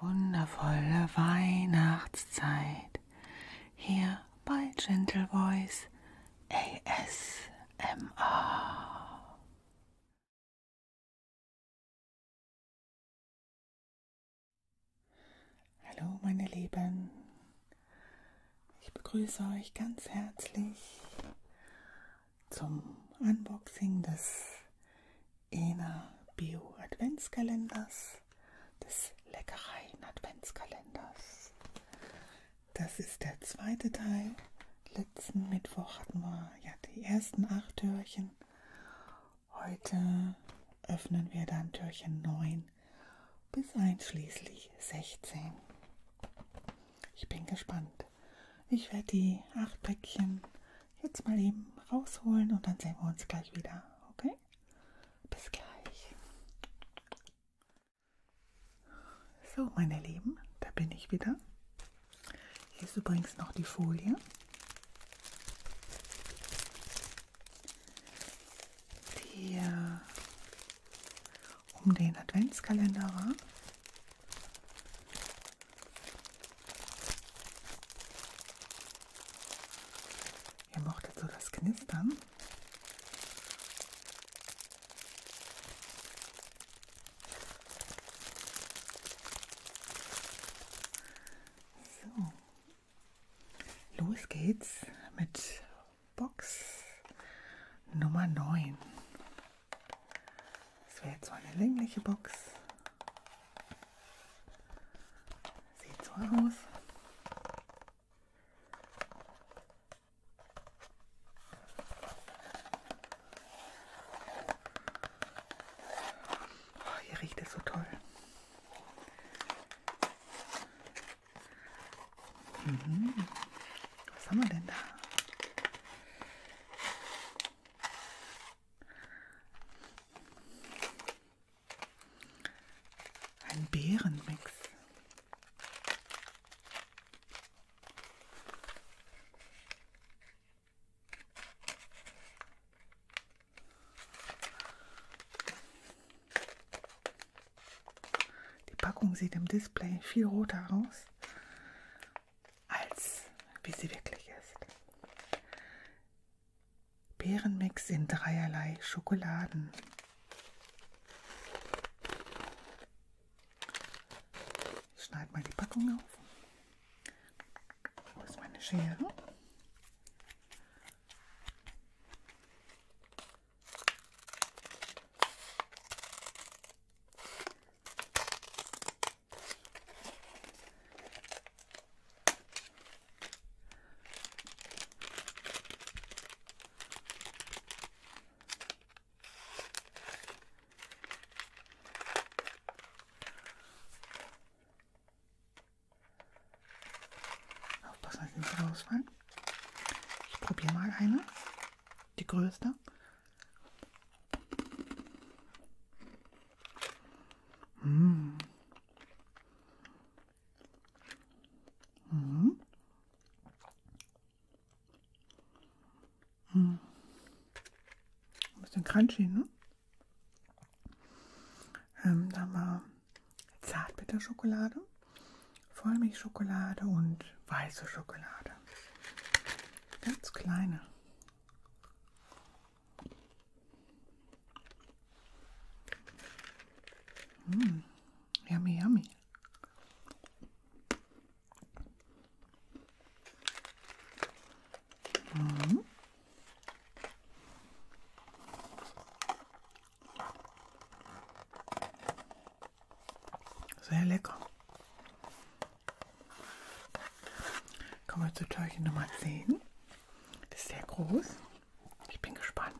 Wundervolle Weihnachtszeit hier bei Gentle Voice ASMR. Hallo meine Lieben, ich begrüße euch ganz herzlich zum Unboxing des Ena Bio Adventskalenders, des Leckereien Adventskalenders. Das ist der zweite Teil. Letzten Mittwoch hatten wir ja die ersten acht Türchen. Heute öffnen wir dann Türchen 9 bis einschließlich 16. Ich bin gespannt. Ich werde die acht Päckchen jetzt mal eben rausholen und dann sehen wir uns gleich wieder. Okay? Bis gleich. So, meine Lieben, da bin ich wieder. Hier ist übrigens noch die Folie. Die um den Adventskalender war. Ihr mochtet so das Knistern. So, los geht's mit Box Nummer 9. Das wäre jetzt so eine längliche Box. Sieht so aus. Oh, hier riecht es so toll. Mhm. Was haben wir denn da? Ein Beerenmix. Die Packung sieht im Display viel roter aus, als wie sie wirklich ist. Beerenmix in dreierlei Schokoladen. Ich schneide mal die Packung auf. Wo ist meine Schere? Aufpassen, dass nicht rausfallen. Ich probiere mal eine. Die größte. Mmh, Mhm. Mhm. Ein bisschen crunchy, ne? Ähm, da haben wir Zartbitterschokolade, Vollmilchschokolade und weiße Schokolade. Ganz kleine. Mm, yummy, yummy. Mm. Sehr lecker. Kommen wir zu Türchen Nummer zehn. Das ist sehr groß. Ich bin gespannt.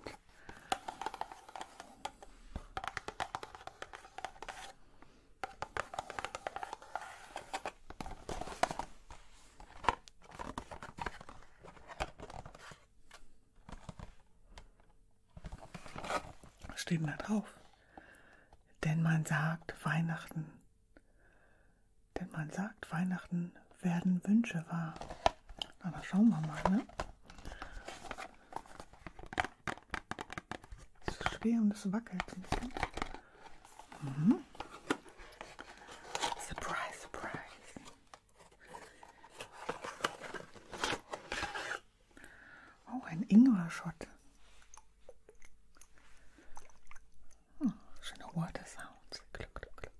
Was steht denn da drauf? Denn man sagt, Weihnachten denn man sagt, Weihnachten werden Wünsche wahr. Na, da schauen wir mal, ne? Es ist schwer und es wackelt ein bisschen. Mhm. Surprise, surprise. Oh, ein Ingwer-Schott. Oh, schöne Water Sounds. Glück, Glück, Glück.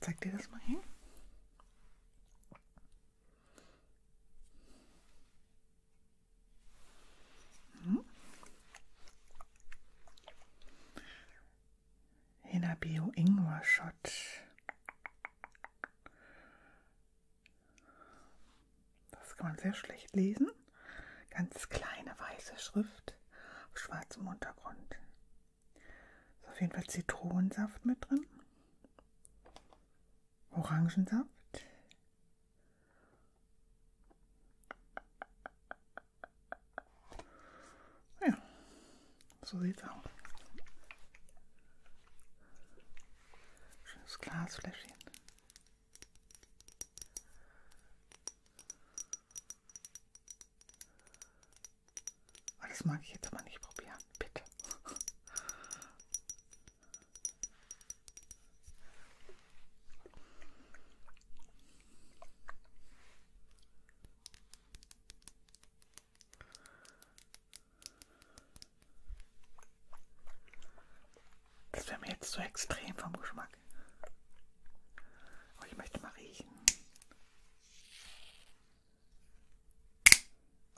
Zeig dir das mal hin. Mhm. Hinabio Ingwer Shot. Das kann man sehr schlecht lesen. Ganz kleine weiße Schrift auf schwarzem Untergrund. Ist auf jeden Fall Zitronensaft mit drin. Orangensaft. Ja, so sieht's aus. Schönes Glasfläschchen. Oh, das mag ich jetzt aber nicht probieren, bitte. Das wäre mir jetzt zu so extrem vom Geschmack. Aber oh, ich möchte mal riechen.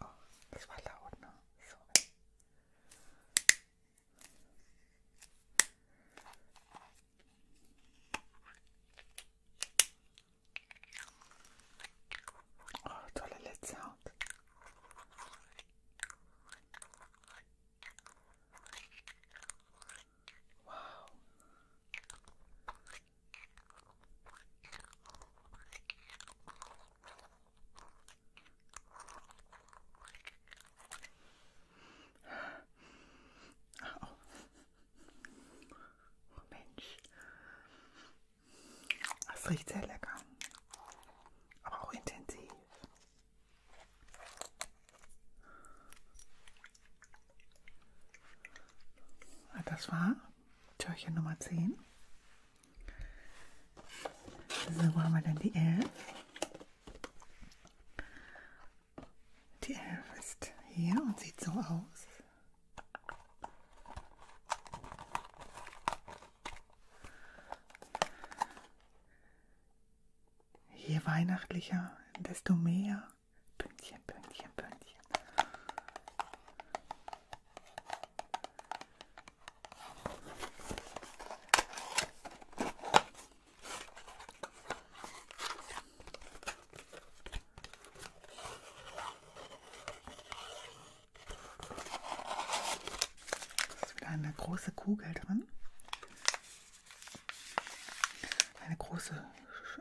Oh, das war laut, ne? Sorry. Oh, tolle letzte Haut. Wow. Oh. oh Mensch, das riecht sehr lecker, aber auch intensiv. Ah, das war Türchen Nummer 10. So, wo haben wir denn die 11? Die 11 ist hier und sieht so aus. Je weihnachtlicher, desto mehr. Pünktchen, Pünktchen, Pünktchen. Da ist wieder eine große Kugel drin. Eine große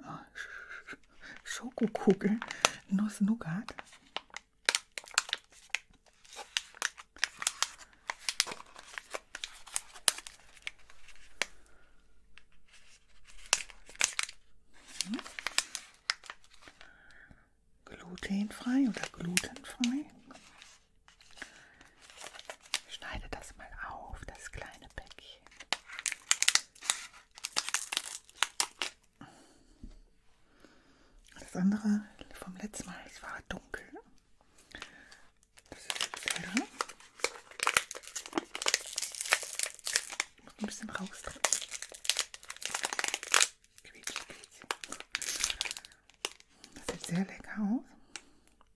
ah, Schokokugel, Nuss Nougat. Mhm. Glutenfrei oder glutenfrei. Ich schneide das mal auf, das kleine Päckchen. Das andere vom letzten Mal, es war dunkel. Das ist jetzt heller. Ich muss ein bisschen rausdrücken. Das sieht sehr lecker aus.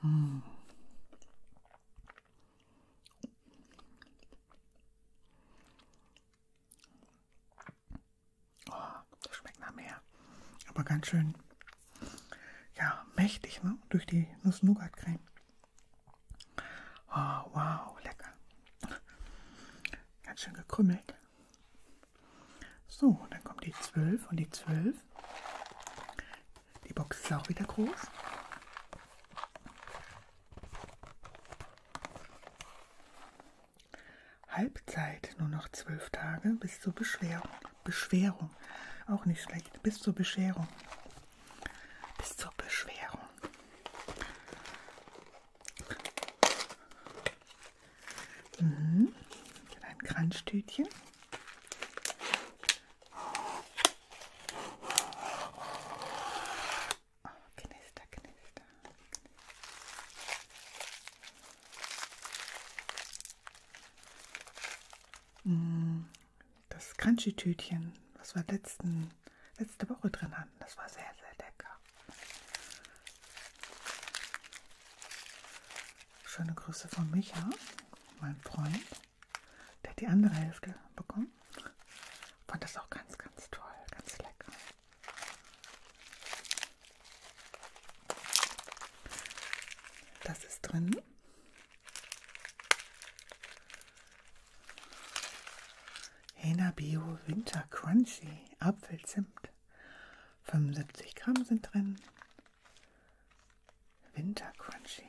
Hm. Oh, das schmeckt nach mehr. Aber ganz schön, ja, mächtig, ne? Durch die Nuss-Nougat-Creme. Oh, wow, lecker. Ganz schön gekrümmelt. So, dann kommt die 12 und die 12 die Box ist auch wieder groß. Halbzeit, nur noch zwölf Tage bis zur Beschwerung. Beschwerung, auch nicht schlecht, bis zur Bescherung. Bis zur Beschwerung. Mhm. Ein Kranzstütchen. Oh, knister, knister. Mm, das Crunchy-Tütchen, was wir letzten, letzte Woche drin hatten, das war sehr, sehr lecker. Schöne Grüße von Micha, mein Freund. Der hat die andere Hälfte bekommen. Fand das auch ganz, ganz toll, ganz lecker. Das ist drin. Hena Bio Winter Crunchy Apfelzimt. 75 Gramm sind drin. Winter Crunchy.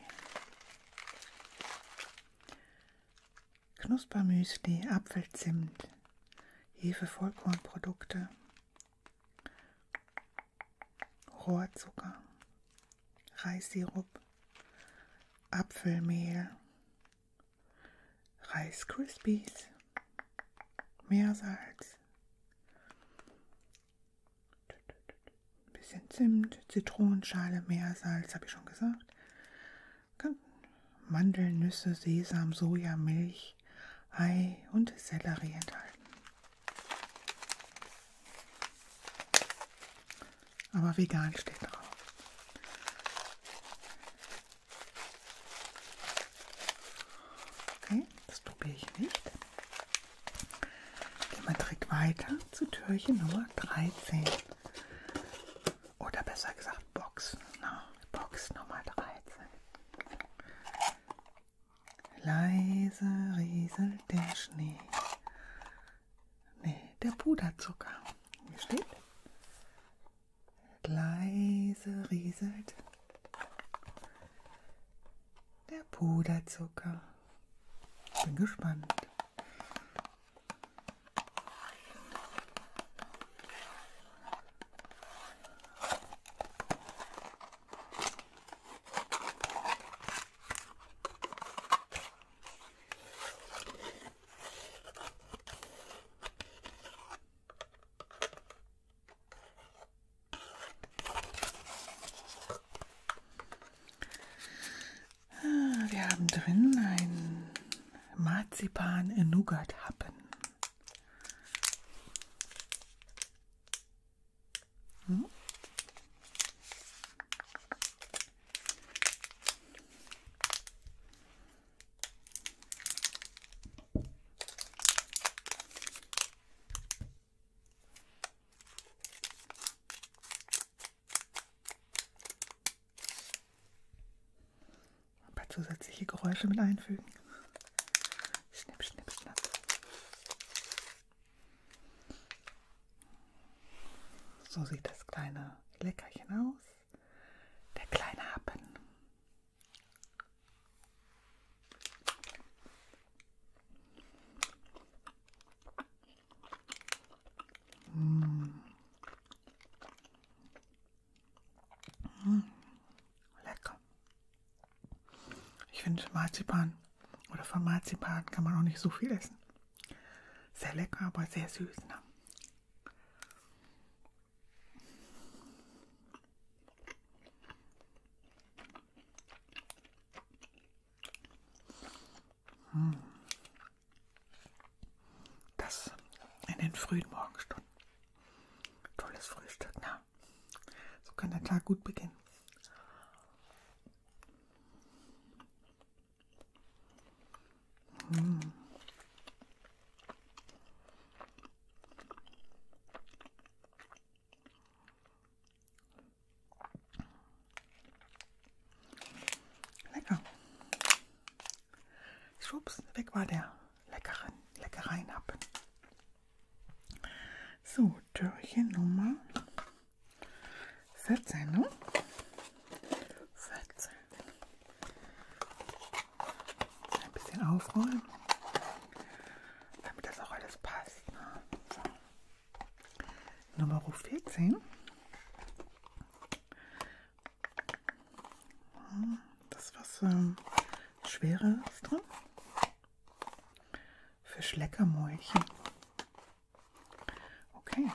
Knuspermüsli, Apfelzimt, Hefe Vollkornprodukte, Rohrzucker, Reissirup, Apfelmehl, Reis Krispies, Meersalz, ein bisschen Zimt, Zitronenschale, Meersalz, habe ich schon gesagt. Mandeln, Nüsse, Sesam, Soja, Milch, Ei und Sellerie enthalten. Aber vegan steht drauf. Okay, das probiere ich nicht. Gehen wir direkt weiter zu Türchen Nummer 13. Oder besser gesagt Box. Na, Box Nummer 13. Leise rieselt der Schnee. Nee, der Puderzucker. Hier steht. Leise rieselt der Puderzucker bin gespannt. Wir haben drin einen Marzipan-Nougat-Happen. Hm? Ein paar zusätzliche Geräusche mit einfügen. Schnipp, schnipp, schnapp. So sieht das kleine Leckerchen aus. Der kleine Happen. Mm. Mm. Lecker. Ich finde Marzipan oder von Marzipan kann man auch nicht so viel essen. Sehr lecker, aber sehr süß. Ne? Das in den frühen Morgenstunden. Tolles Frühstück, na. So kann der Tag gut beginnen. Hm. Lecker. Schwupps, weg war der leckeren Leckereinappen. So, Türchen Nummer 14, ne? 14. Ein bisschen aufrollen, damit das auch alles passt. Ne? So. Nummer 14. Das was ähm, Schweres drin. Für Schleckermäulchen. Okay.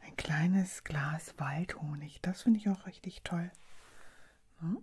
Ein kleines Glas Waldhonig. Das finde ich auch richtig toll. Hm?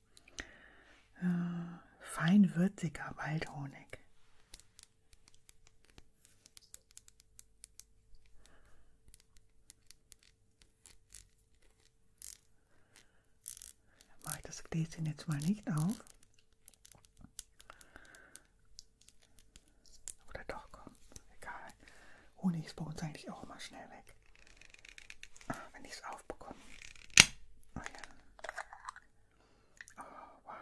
äh, feinwürziger Waldhonig. Dann mache ich das Gläschen jetzt mal nicht auf. Oder doch, komm, egal. Honig ist bei uns eigentlich auch immer schnell weg. Ah, wenn ich es aufbekomme. Oh ja. Oh, wow.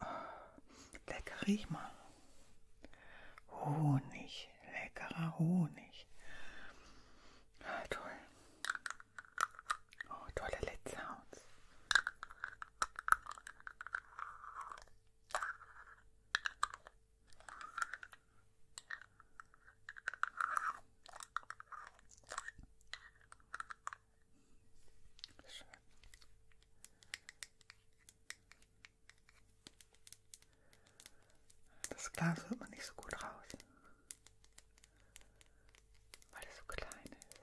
Oh, lecker, riech mal. Honig, leckerer Honig. Ah, toll. Oh, tolle Lid Sounds. Schön. Das Glas hört man nicht so gut raus, weil es so klein ist.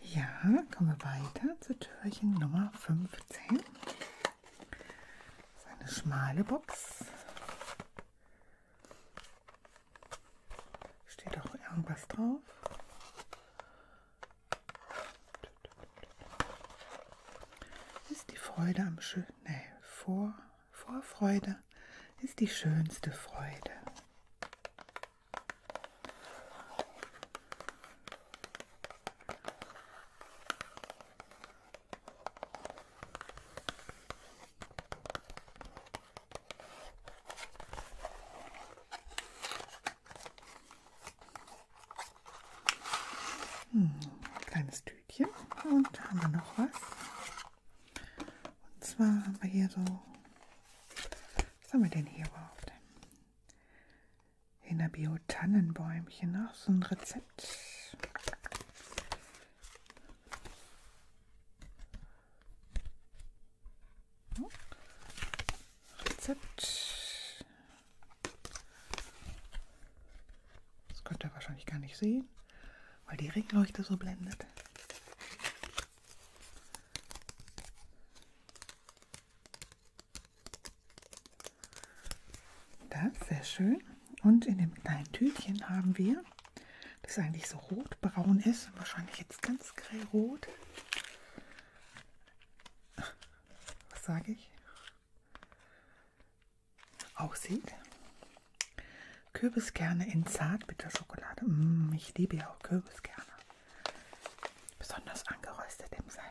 Ja, kommen wir weiter zur Türchen Nummer 15. Das ist eine schmale Box. Steht auch irgendwas drauf. Ist die Freude am schönen. Nee, vor, Vorfreude ist die schönste Freude. Hm, kleines Tütchen und da haben wir noch was. Und zwar haben wir hier so, was haben wir denn hier überhaupt? In der Bio Bio Tannenbäumchen, auch so ein Rezept. Rezept. Das könnt ihr wahrscheinlich gar nicht sehen, weil die Regenleuchte so blendet. Das, sehr schön. Und in dem kleinen Tütchen haben wir, das eigentlich so rotbraun ist, wahrscheinlich jetzt ganz grellrot. Was sage ich? Aussieht. Kürbiskerne in Zartbitterschokolade. Mm, ich liebe ja auch Kürbiskerne. Besonders angeröstet im Salat.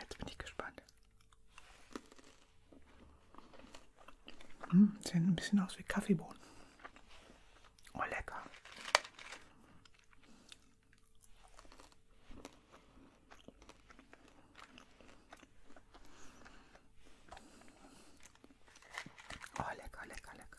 Jetzt bin ich gespannt. Hm, sehen ein bisschen aus wie Kaffeebohnen. Oh, lecker. Oh, lecker, lecker, lecker.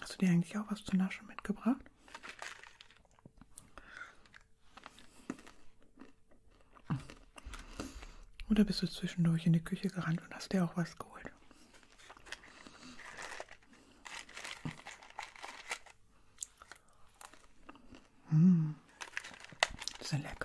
Hast du dir eigentlich auch was zu naschen mitgebracht? Oder bist du zwischendurch in die Küche gerannt und hast dir auch was geholt? Mmh, das ist lecker.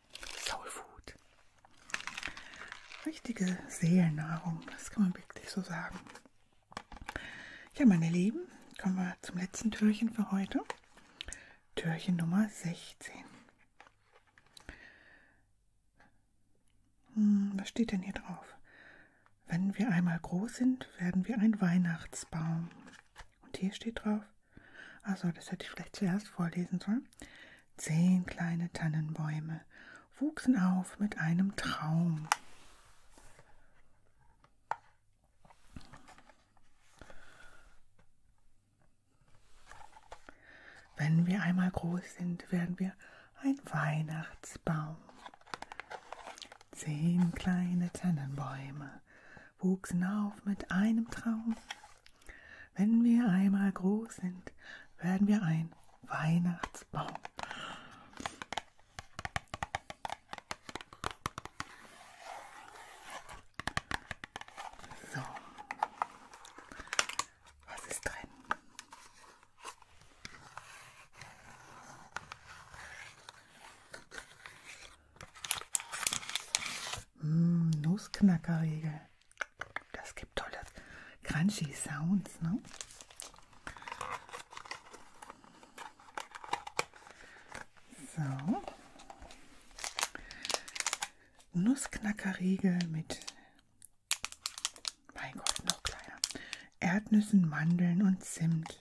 Soul Food. Richtige Seelennahrung, das kann man wirklich so sagen. Ja, meine Lieben, kommen wir zum letzten Türchen für heute. Türchen Nummer 16. Hm, was steht denn hier drauf? Wenn wir einmal groß sind, werden wir ein Weihnachtsbaum. Und hier steht drauf, also das hätte ich vielleicht zuerst vorlesen sollen. Zehn kleine Tannenbäume wuchsen auf mit einem Traum. Wenn wir einmal groß sind, werden wir ein Weihnachtsbaum. Zehn kleine Tannenbäume wuchsen auf mit einem Traum. Wenn wir einmal groß sind, werden wir ein Weihnachtsbaum. So, was ist drin? Mmh, Nussknackerriegel. Das gibt tolle crunchy Sounds, ne? So. Nussknackerriegel mit, mein Gott, noch kleiner, Erdnüssen, Mandeln und Zimt.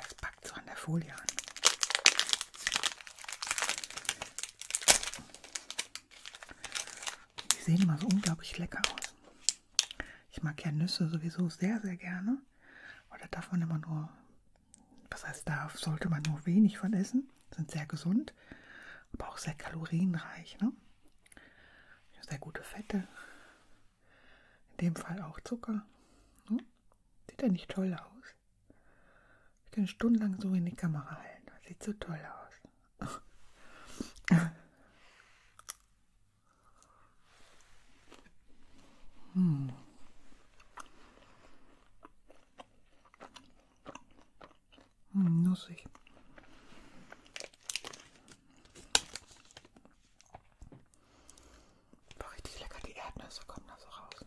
Das packt so an der Folie an. Die sehen immer so unglaublich lecker aus. Ich mag ja Nüsse sowieso sehr, sehr gerne. Oder darf man immer nur, was heißt darf, sollte man nur wenig von essen. Sind sehr gesund, aber auch sehr kalorienreich. Ne? Sehr gute Fette. In dem Fall auch Zucker. Ne? Sieht ja nicht toll aus. Ich kann stundenlang so in die Kamera halten. Das sieht so toll aus. Hm. Hm, nussig. Boah, richtig lecker, die Erdnüsse kommen da so raus.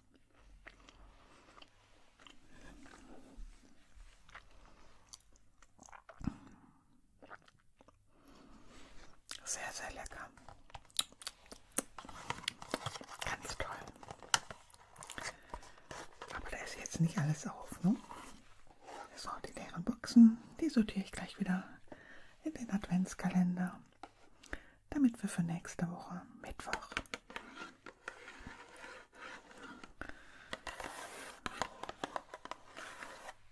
Sehr, sehr lecker. Ganz toll. Aber da ist jetzt nicht alles auf, ne? So, die leeren Boxen, die sortiere ich gleich wieder in den Adventskalender damit wir für nächste Woche Mittwoch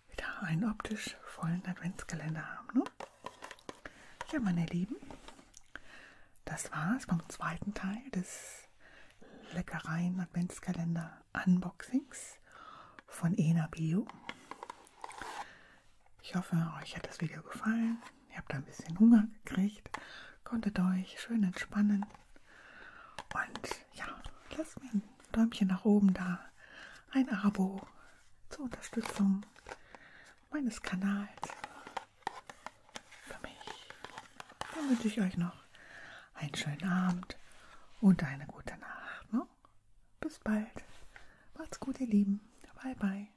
wieder einen optisch vollen Adventskalender haben. Ne? Ja, meine Lieben, das war's vom zweiten Teil des Leckereien Adventskalender Unboxings von Ena Bio. Ich hoffe, euch hat das Video gefallen. Ihr habt ein bisschen Hunger gekriegt, konntet euch schön entspannen. Und ja, lasst mir ein Däumchen nach oben da, ein Abo zur Unterstützung meines Kanals. Für mich. Dann wünsche ich euch noch einen schönen Abend und eine gute Nacht. Ne? Bis bald. Macht's gut, ihr Lieben. Bye, bye.